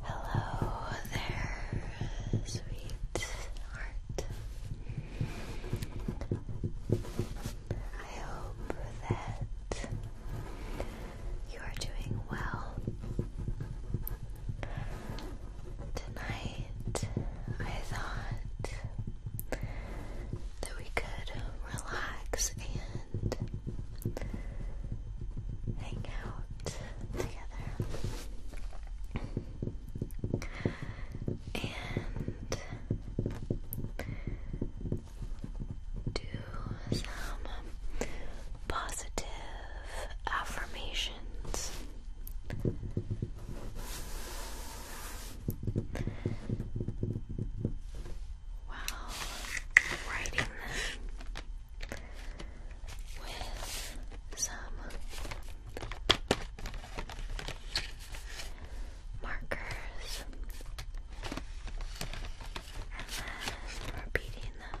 Hello there, sweet heart. I hope that you are doing well. Tonight, I thought that we could relax and and hang out together. And do some positive affirmations. Wow, writing them with some markers and then repeating them.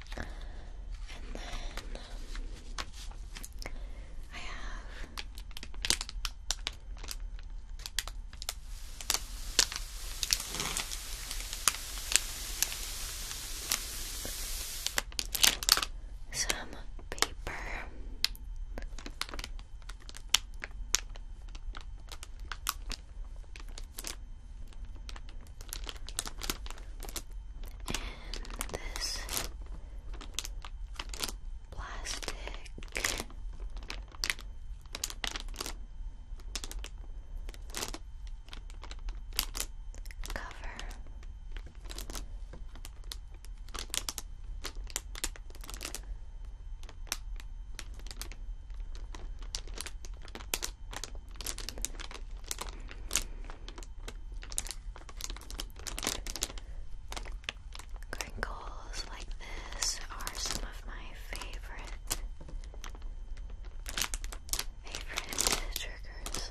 And then I have some paper. And this plastic cover. Crinkles like this are some of my favorite favorite triggers.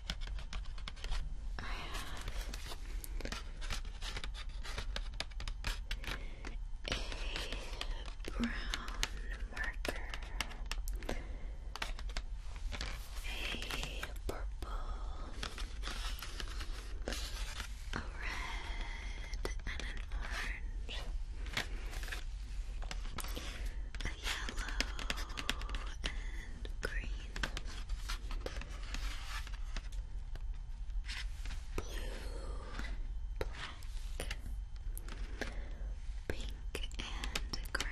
I have a brown marker, a purple, a red, and an orange yellow and green, blue, black, pink, and gray.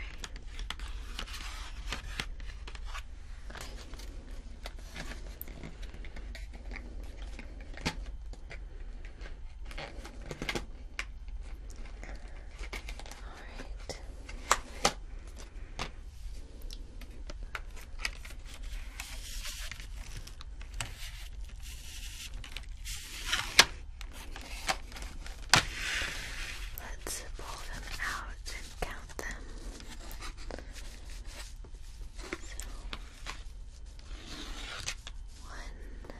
Alright. Let's pull them out and count them. So one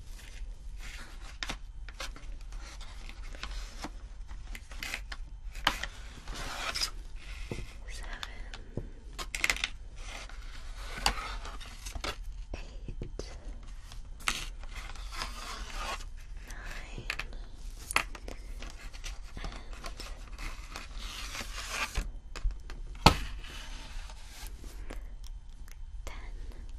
Seven, eight, nine, and ten.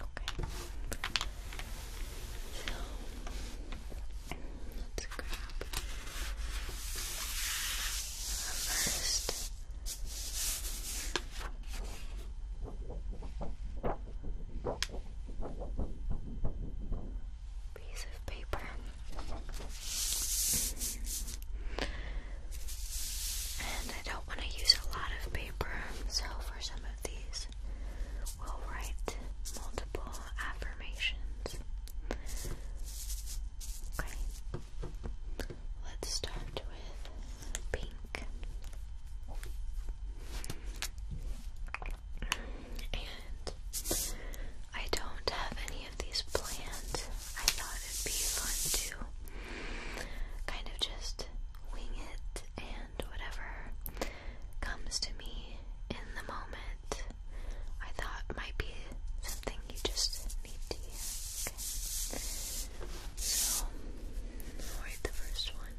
Okay. So let's grab first piece of paper. And I don't want to use a lot of paper, so for some of these, we'll write multiple affirmations. Okay, let's start with pink. And I don't have any of these planned. I thought it'd be fun to kind of just wing it and whatever comes to me in the moment. I thought might be something you just need to So, i the first one.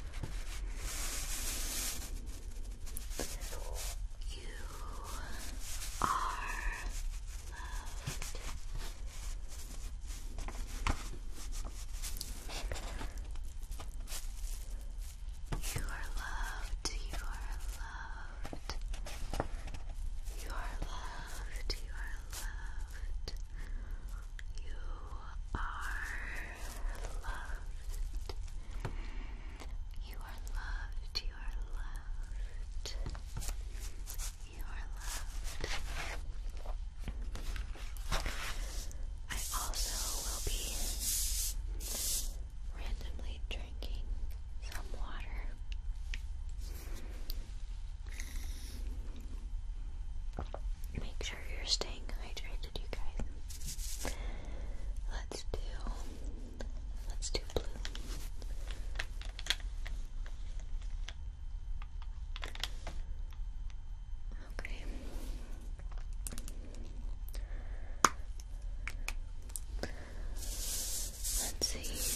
You are loved. You are loved. You are loved. You are loved. You are loved loved. You are loved. You are loved. You are loved. I also will be randomly drinking some water. Make you're staying hydrated, you guys. Let's do let's do blue. Okay. Let's see.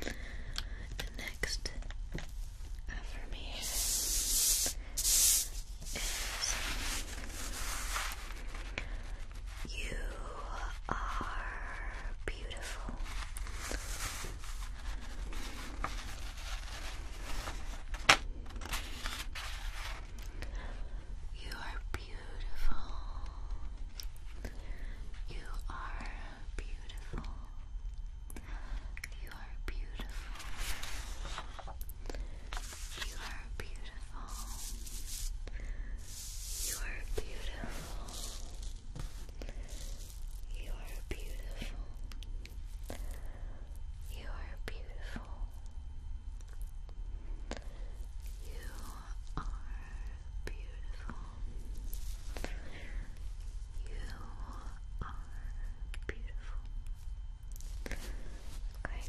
The next affirmation is you are beautiful. You are beautiful. You are beautiful. You are beautiful. You are beautiful. You are beautiful. You are beautiful. You are beautiful. You are beautiful. You are beautiful. Okay, let's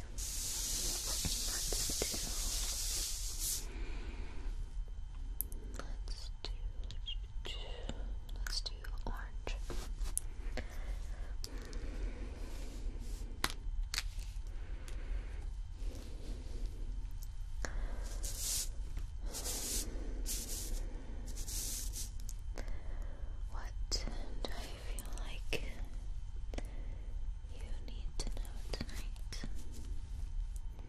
do. Let's do. Let's do orange. What do I feel like you need to know tonight? let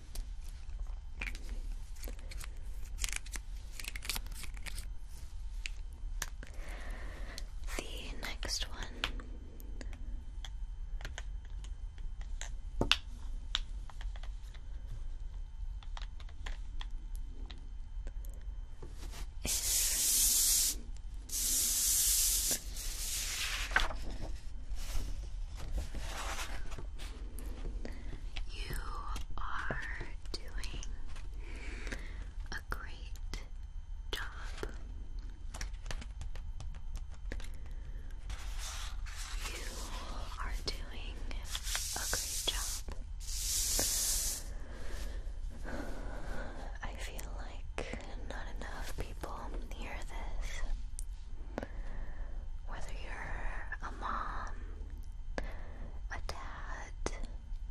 The next one is this. You are doing a great job. You are doing a great job. I feel like not enough people hear this. Whether you're a mom, a dad,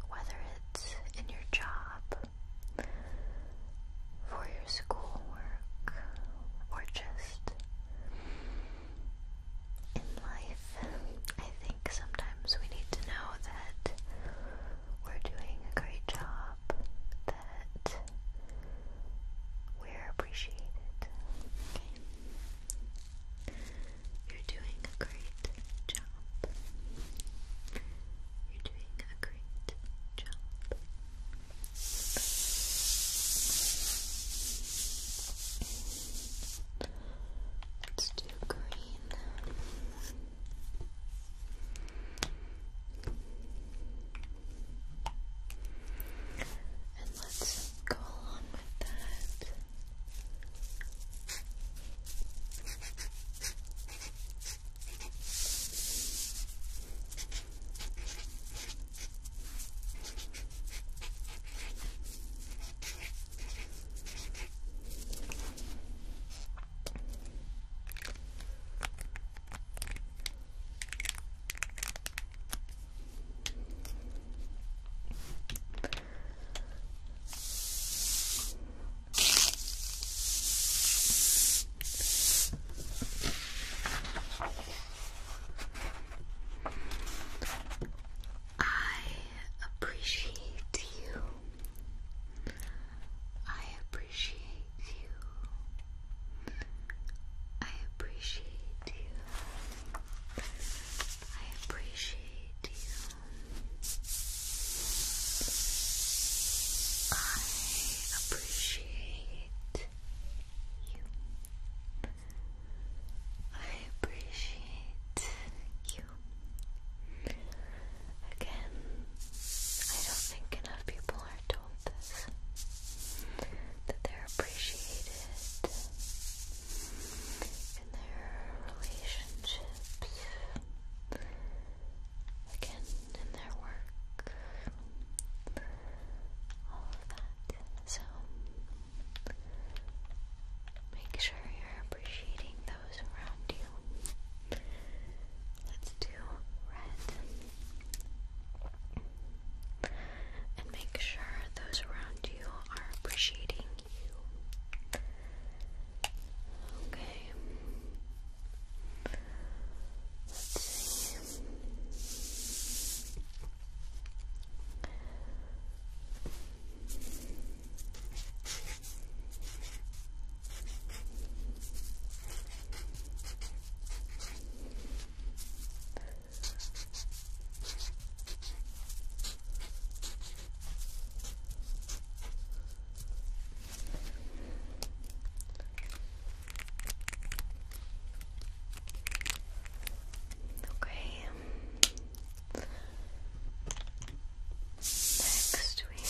whether it's in your job, for your schoolwork, or just in life, I think sometimes we need to know that we're doing a great job, we're appreciated. Okay. You're doing a great job. You're doing a great job. Let's do green. And let's go along with that. I appreciate you. I appreciate you. I appreciate you. I appreciate you. I appreciate you. I appreciate you. Again, I don't think enough people are that they're appreciated in their relationships, again, in their work, all of that. So, make sure you're appreciating those around you. Let's do red. And make sure those around you are appreciating you. Okay. Let's see. Okay. Next we have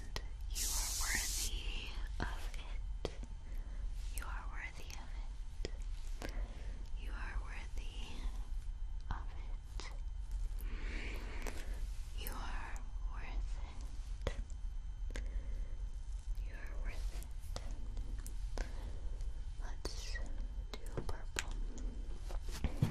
and you are worthy of it. You are worthy of it. You are worthy of it. You are worth it. You are worth it. Let's do purple. Purple,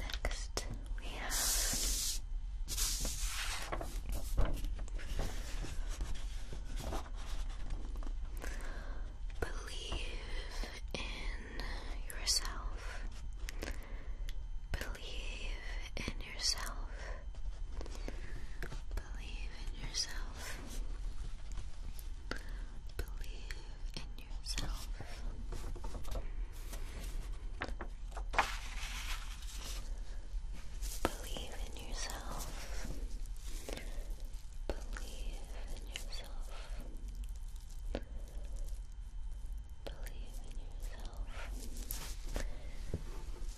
Next, we have believe in yourself. Believe in yourself. Believe in yourself. Believe in yourself. Believe in yourself. Believe in yourself. Believe in yourself.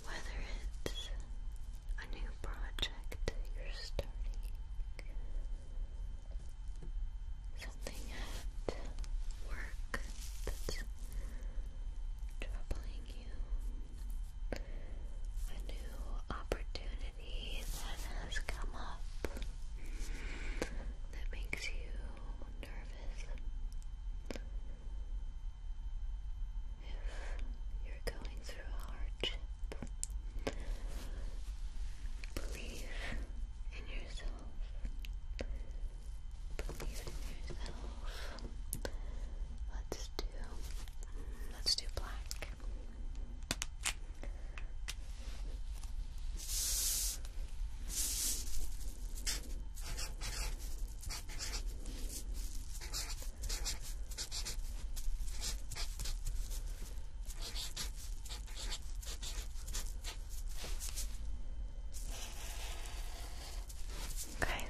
Whether it's a new project you're starting, something at work that's troubling you, a new opportunity that has come up that makes you nervous if you're going through a hardship, believe in yourself. Believe in yourself. Let's do, let's do black. Black. Okay.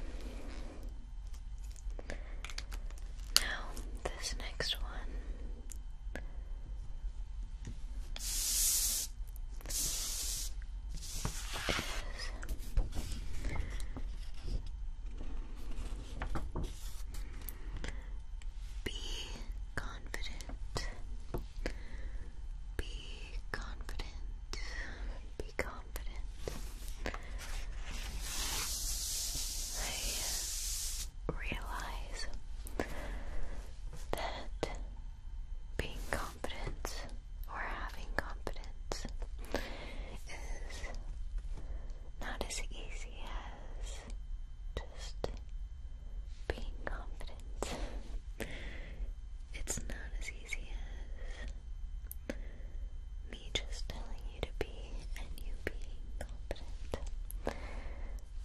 Now, this next one is be confident. Be confident. Be confident. I realize that being confident or having confidence is not as easy as just being confident. It's not as easy as me just telling you to be and you being confident.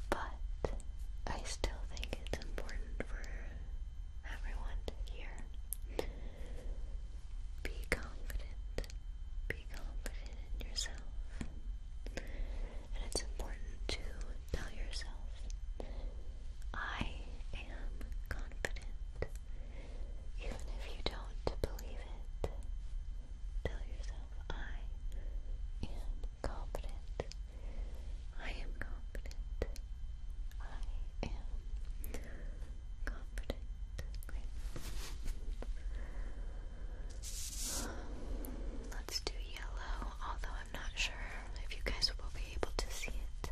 But I still think it's important for everyone to hear be confident. Be confident in yourself. And it's important to tell yourself, I am confident. Even if you don't believe it, tell yourself, I am confident. I am confident. I am Let's do yellow, although I'm not sure if you guys will be able to see it.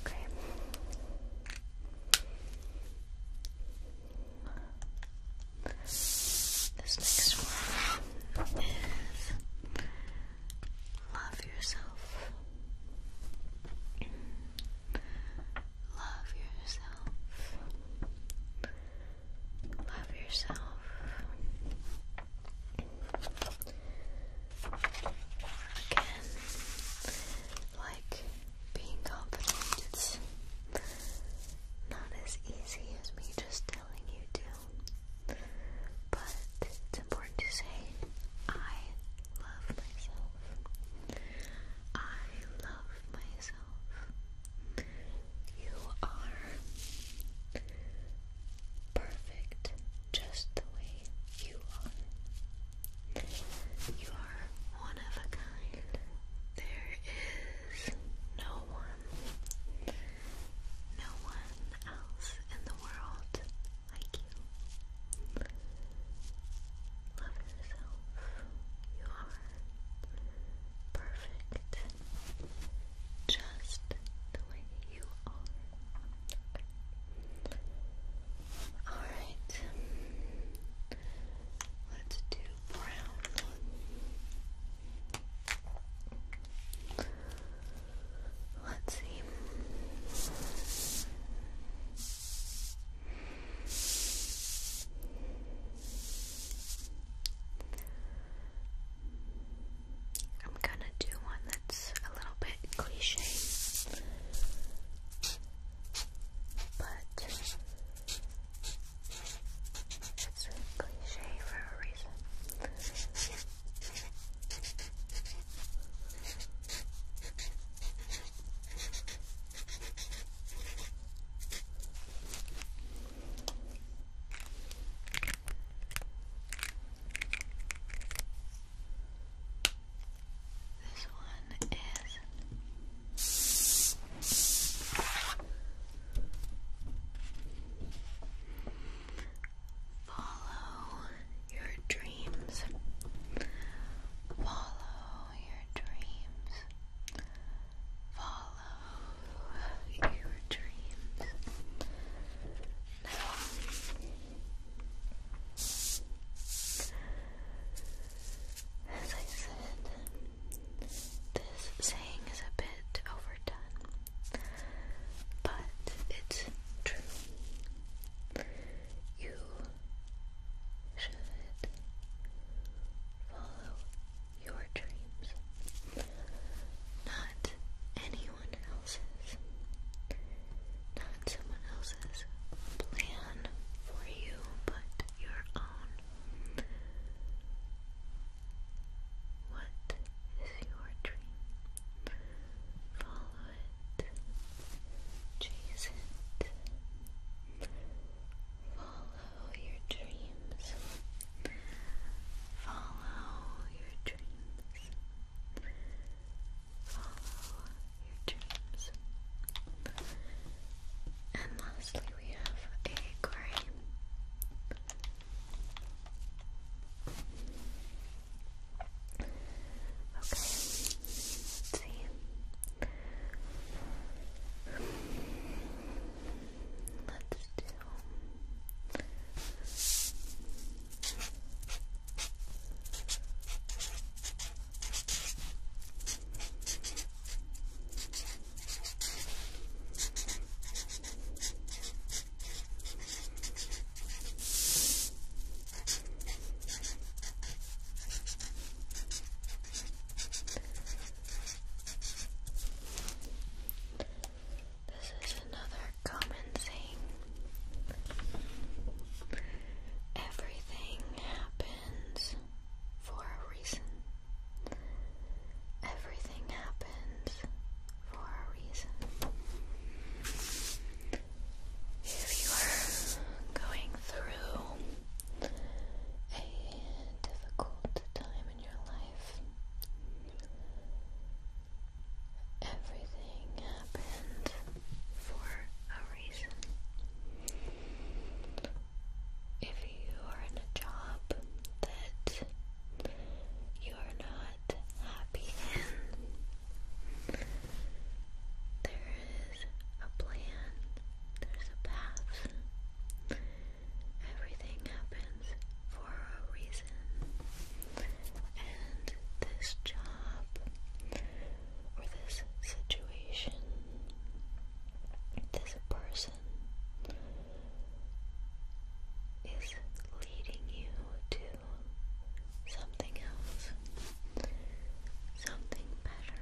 Okay. This next one is Love Yourself. Love yourself. Love yourself. Again, like being confident, it's not as easy as me just telling you to, but it's important to say I love myself. I love myself. You are perfect just the way you are. You are one of a kind. There is no one, no one else in the world like you. Love yourself. You are perfect. Just the way you are. Alright. Let's do brown. Let's see. I'm gonna do one that's a little bit cliche, but it's cliche for a reason. This one is follow your dreams. Follow your dreams. Follow your dreams. Now, as I said, this saying is a bit overdone, but it's true you should follow your dreams, not anyone else's, not someone else's plan for you, but your own. What is your dream? follow it, chase it, follow your dreams, follow your dreams, follow your dreams. And lastly, we have a grime. Okay, let's see. Let's do. This is another common thing. Everything happens for a reason. Everything happens for a reason. If you are going through a difficult time in your life, everything happened for a reason. If you are in a job that you are not happy in, there is a plan, there's a path. Everything happens for a reason. And this job or this situation, this person is leading you to something else, something better.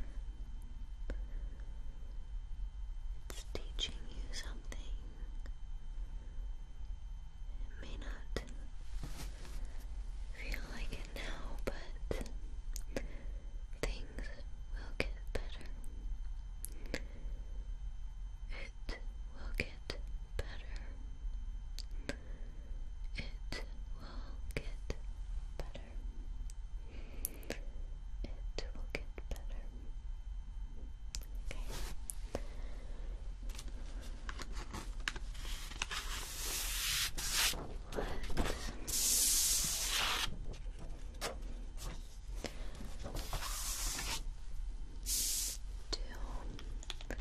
It's teaching you something. It may not feel like it now, but things will get better. It will get better. It will get better. It will get better. Okay. Let do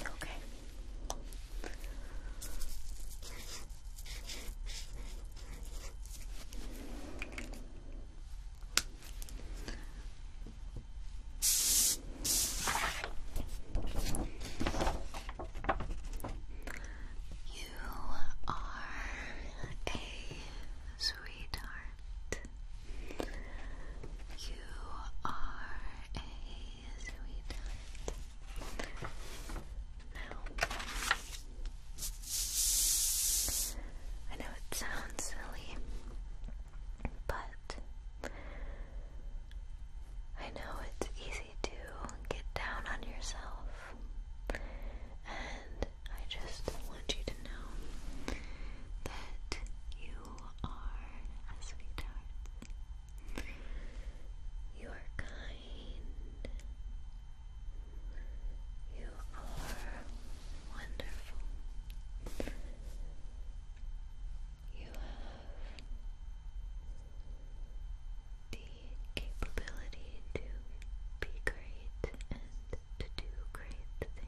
Okay. You are a sweetheart. You are a sweetheart. I know it sounds silly, but I know it's easy to get down on yourself, and I just want you to know that you are a sweetheart. You are kind. You are wonderful. You have the capability to be great and to do great things.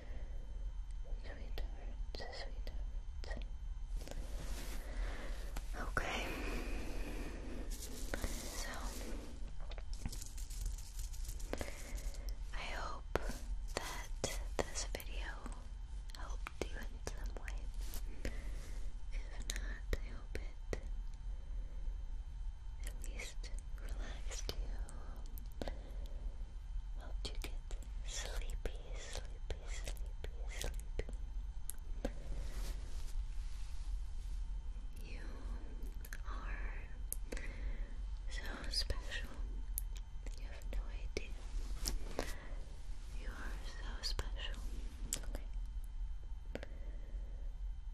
Sweethearts, sweethearts. Okay. So I hope that this video helped you in some way. If not, I hope it at least relaxed you helped you get sleepy, sleepy, sleepy, sleepy. You are so special. You have no idea. You are so special.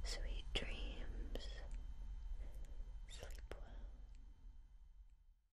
Sweet dreams. Sleep well.